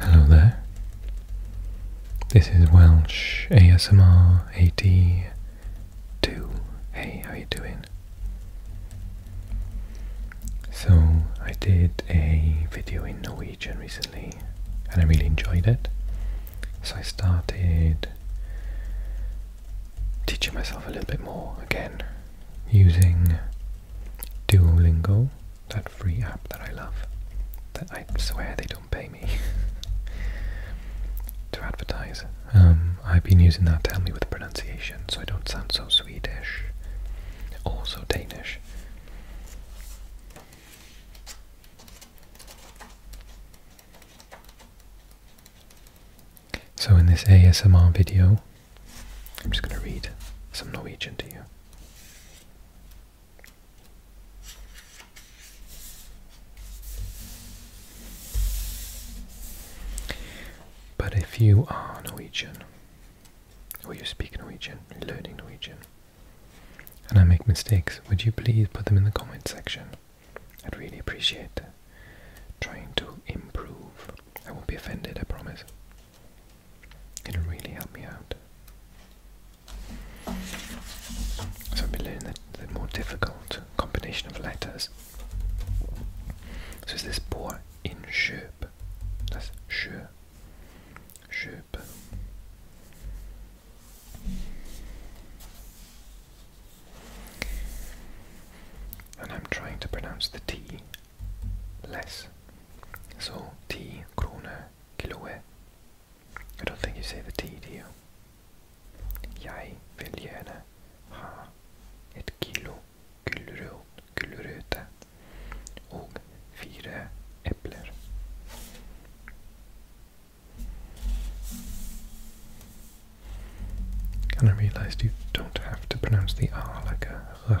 Hello there. This is Welsh ASMR AD two. Hey, how are you doing? So, I did a video in Norwegian recently and I really enjoyed it. So I started teaching myself a little bit more again using Duolingo, that free app that I love, that I swear they don't pay me to advertise. Um, I've been using that to help me with the pronunciation so I don't sound so Swedish, also Danish. So in this ASMR video, I'm just going to read some Norwegian to you. But if you are Norwegian, or you speak Norwegian, learning Norwegian, and I make mistakes, would you please put them in the comments section? I'd really appreciate Trying to improve. I won't be offended, I promise. It'll really help me out. So I've learning the, more difficult combination of letters. So is this boar in Schöp? That's Schö. Schöp. And I'm trying to pronounce the T less. So T kroner kiloe. I don't think you say the T, do you? Jeg vill gärna ha ett kilo gulrot, gulröte og fyra äpplen. And I realized you don't have to pronounce the R like a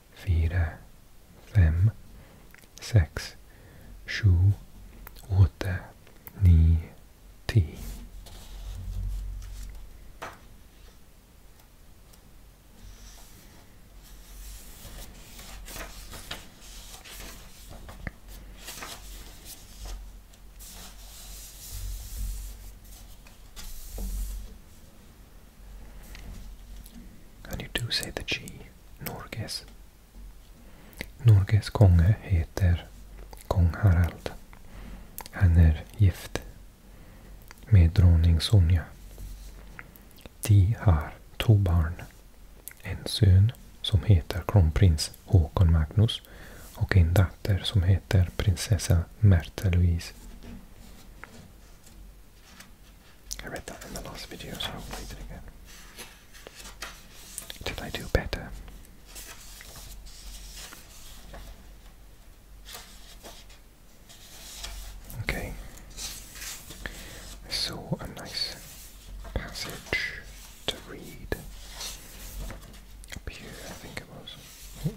fyra, fem, sex, sju, åtta, nio, tio. And you do say the G. Norges. Norges konge heter kung Harald. Han är gift med drottning Sonja. De har två barn. En son som heter kronprins Håkon Magnus och en dotter som heter prinsessa Märta Louise. I read that in the last video, so I'll read it again. Did I do better? Okay. I saw a nice passage to read up here, I think it was.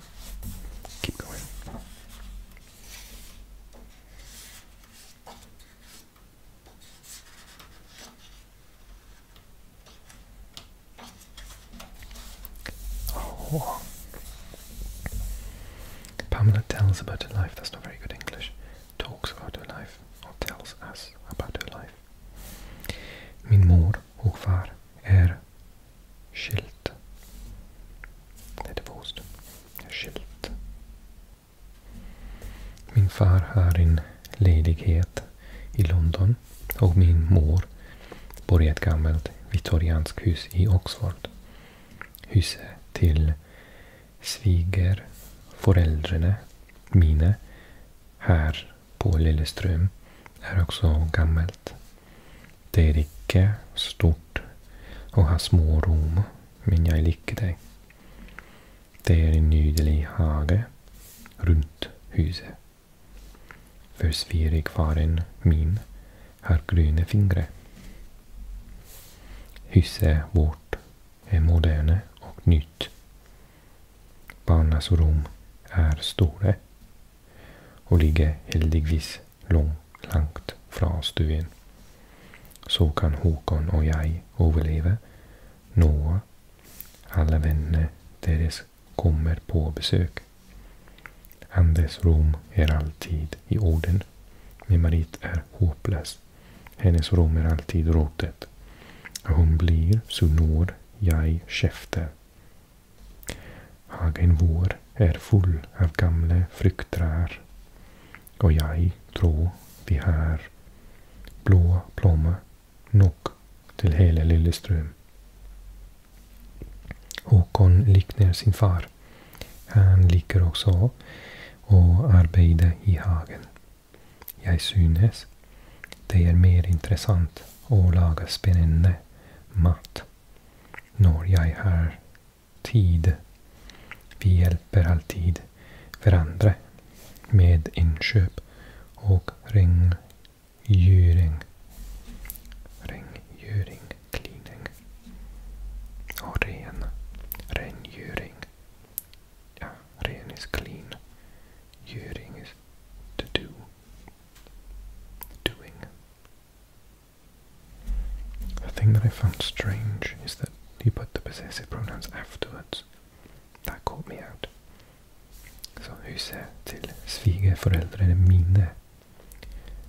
Keep going. Oh. Pamela tells about her life. That's not very good English. Talks about her life or tells us about her life. Min mor och far Skylt. Nej, det var ost. Skylt. Min far har en ledighet i London och min mor bor i ett gammalt viktorianskt hus i Oxford. Huset till sviger föräldrarna mina här på Lilleström är också gammalt. Det är icke stort och har små rum, men jag liker det. Det är en nydlig hage runt huset. För svigerfaren min har gröna fingrar. Huset vårt är moderne och nytt. Barnas rum är stora och ligger heldigvis lång, långt från stuen. Så kan Håkan och jag överleva några alla vänner deras kommer på besök. Anders rum är alltid i orden. Min marit är hopplös. Hennes rum är alltid rådet. Hon blir så når jag käften. Hagen vår är full av gamla fruktträd och jag tror vi har blå blommor nog till hela Lilleström. Håkon liknar sin far. Han ligger också och arbetar i hagen. Jag synes det är mer intressant att laga spännande mat när jag har tid. Vi hjälper alltid varandra med inköp och rengöring. Rengöring, cleaning. Och ren. Rengöring. Ja, ren is clean. Göring is to do. Doing. The thing that I found strange is that you put the possessive pronouns afterwards. That caught me out. So who said till svigerföräldrar är mine?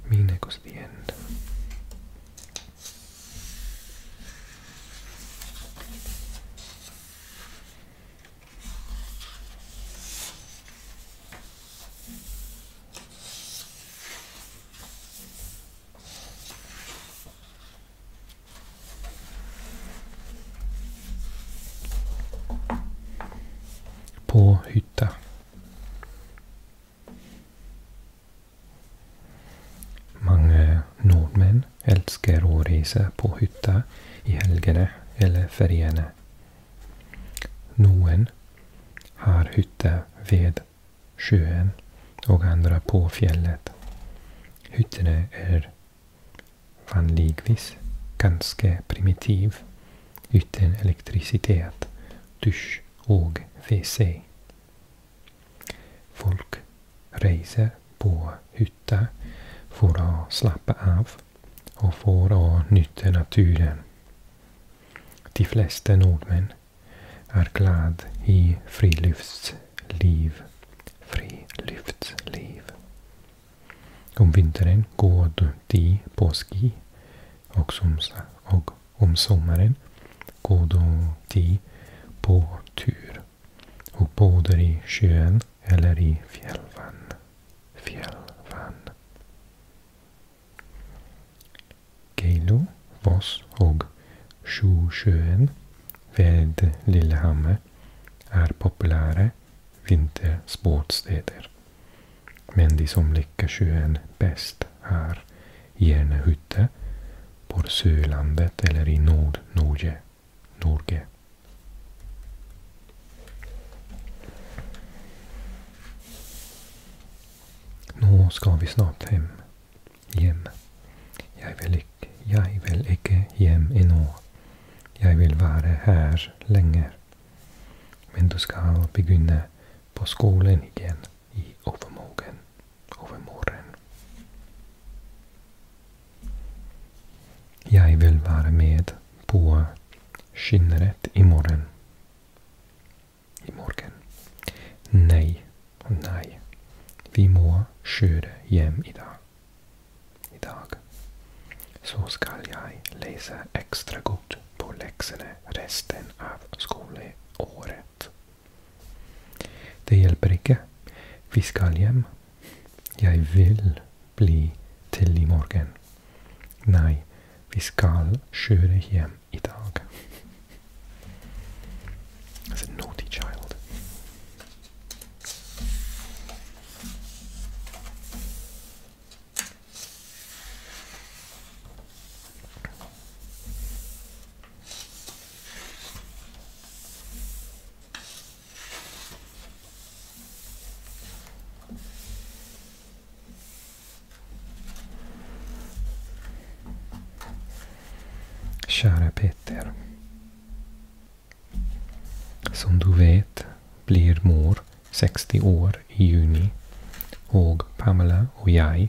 Mine goes at the end. På hytta. Många nordmän älskar att resa på hytta i helgerna eller feriene. Noen har hytta vid sjön och andra på fjället. Hytterna är vanligtvis ganska primitiv utan elektricitet, dusch och WC. Folk reser på hytta för att slappa av och för att nyttja naturen. De flesta nordmän är glad i friluftsliv. Friluftsliv. Om vintern går de på ski och, som, och om sommaren går de på tur och badar i sjön eller i fjällvann. Fjällvann. Geilo, Voss och Sjusjön vid Lillehammer är populära vintersportstäder. Men de som lyckas sjön bäst är Järnehytte på Sölandet eller i Nordnorge. Norge. Nu ska vi snart hem. Hem. Jag vill, ik, jag vill icke hem ännu. Jag vill vara här länge. Men du ska begynna på skolan igen i övermorgon. övermorgon. Jag vill vara med på skinnet imorgon imorgon. Nej och nej. Vi må köra hem idag. Idag. Så skall jag läsa extra gott på läxorna resten av skolåret. Det hjälper inte. Vi ska hem. Jag vill bli till imorgon. Nej, vi ska köra hem your dog. That's a naughty child. Kära Peter. Som du vet blir mor 60 år i juni och Pamela och jag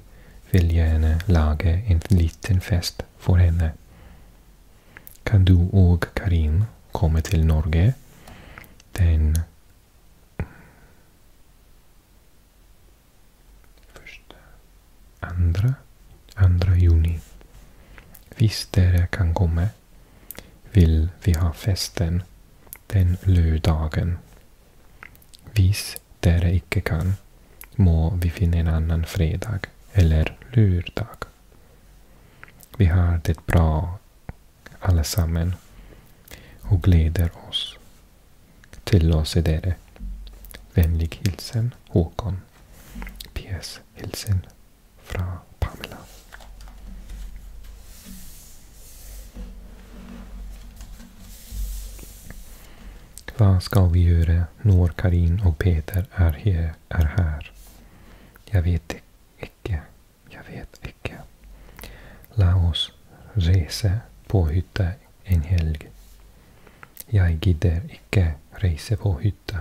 vill gärna laga en liten fest för henne. Kan du och Karin komma till Norge den Första, andra, andra juni. Visst kan komma. Vill vi ha festen den lördagen. Visst där dere icke kan, må vi finna en annan fredag eller lördag. Vi har det bra allesammen och gläder oss. Till oss är det. Vänlig hilsen Håkon. PS. Hilsen från Pamela. Vad ska vi göra när Karin och Peter är här? Jag vet icke. Jag vet fick Laos rese hytte en helg. Jag gider icke resa på hytta.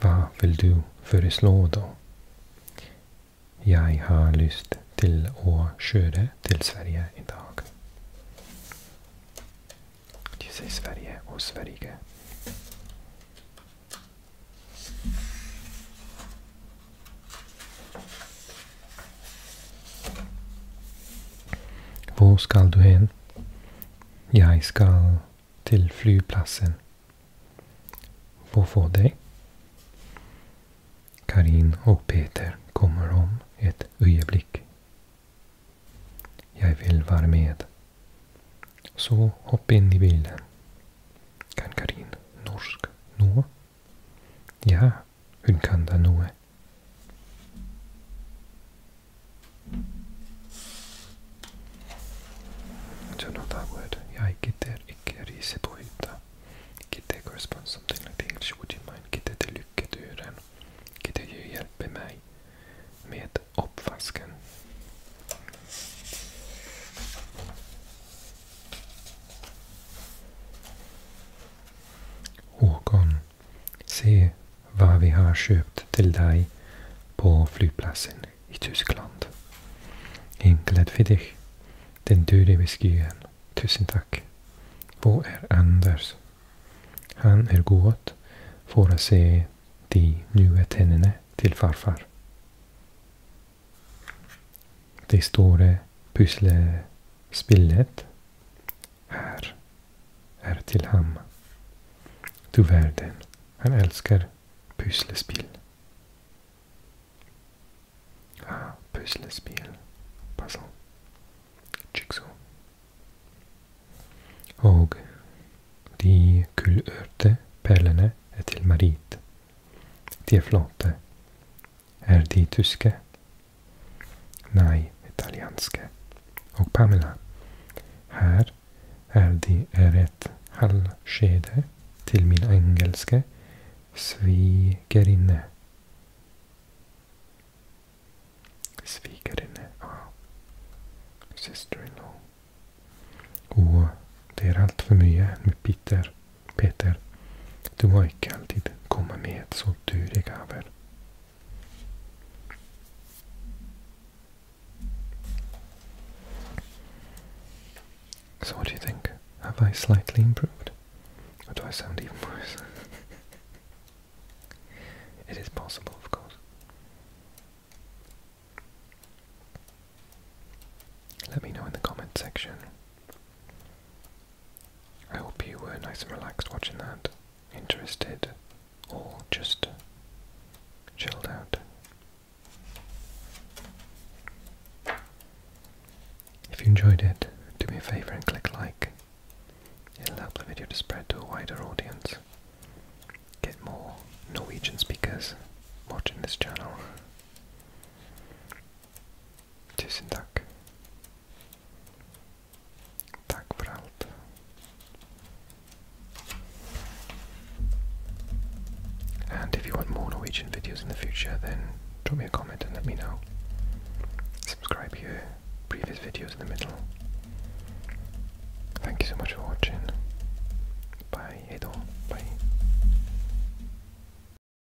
Vad vill du föreslå då? Jag har lust till att köra till Sverige idag. Det säger Sverige och Sverige. Var ska du hen? Jag ska till flygplatsen. Vad får det? Karin och Peter kommer om ett ögonblick. Jag vill vara med. Så hoppa in i bilen. Kan Karin norsk nå? Ja, hun kan da noe. Sanotaan, että jäi kiter ikke riisi puhita. Kite corresponds something like the English would you mind kite till lycketyren. Kite ju hjälper mig med uppvasken. Håkon, se vad vi har köpt till dig på flygplatsen i Tyskland. Enkelt för dig. Den döde whiskyen. Tusen tack. Vad är Anders? Han är god för att se de nya tänderna till farfar. Det stora eh, pusselspillet här är till ham. Du världen. han älskar pusselspel. Ah, pusselspel. Passant. Jigsaw. Och de kulörte pärlorna är till Marit. De är flata är de tyske? Nej, italienska. Och Pamela. Här är det ett halvskede till min engelska svigerinne. Svigerinne, ja. Oh. Sister-in-law. Och det är allt för mycket med Peter. So what do you think? Have I slightly improved? Or do I sound even worse? it is possible, of course. Let me know in the comment section I hope you were nice and relaxed watching that, interested, or just chilled out. If you enjoyed it, do me a favour and click like. It'll help the video to spread to a wider audience. Get more Norwegian speakers watching this channel. Tusen tack. Tack för And if you want more Norwegian videos in the future, then drop me a comment and let me know. Subscribe here, previous videos in the middle. Thank you so much for watching. Bye, Edo. Bye.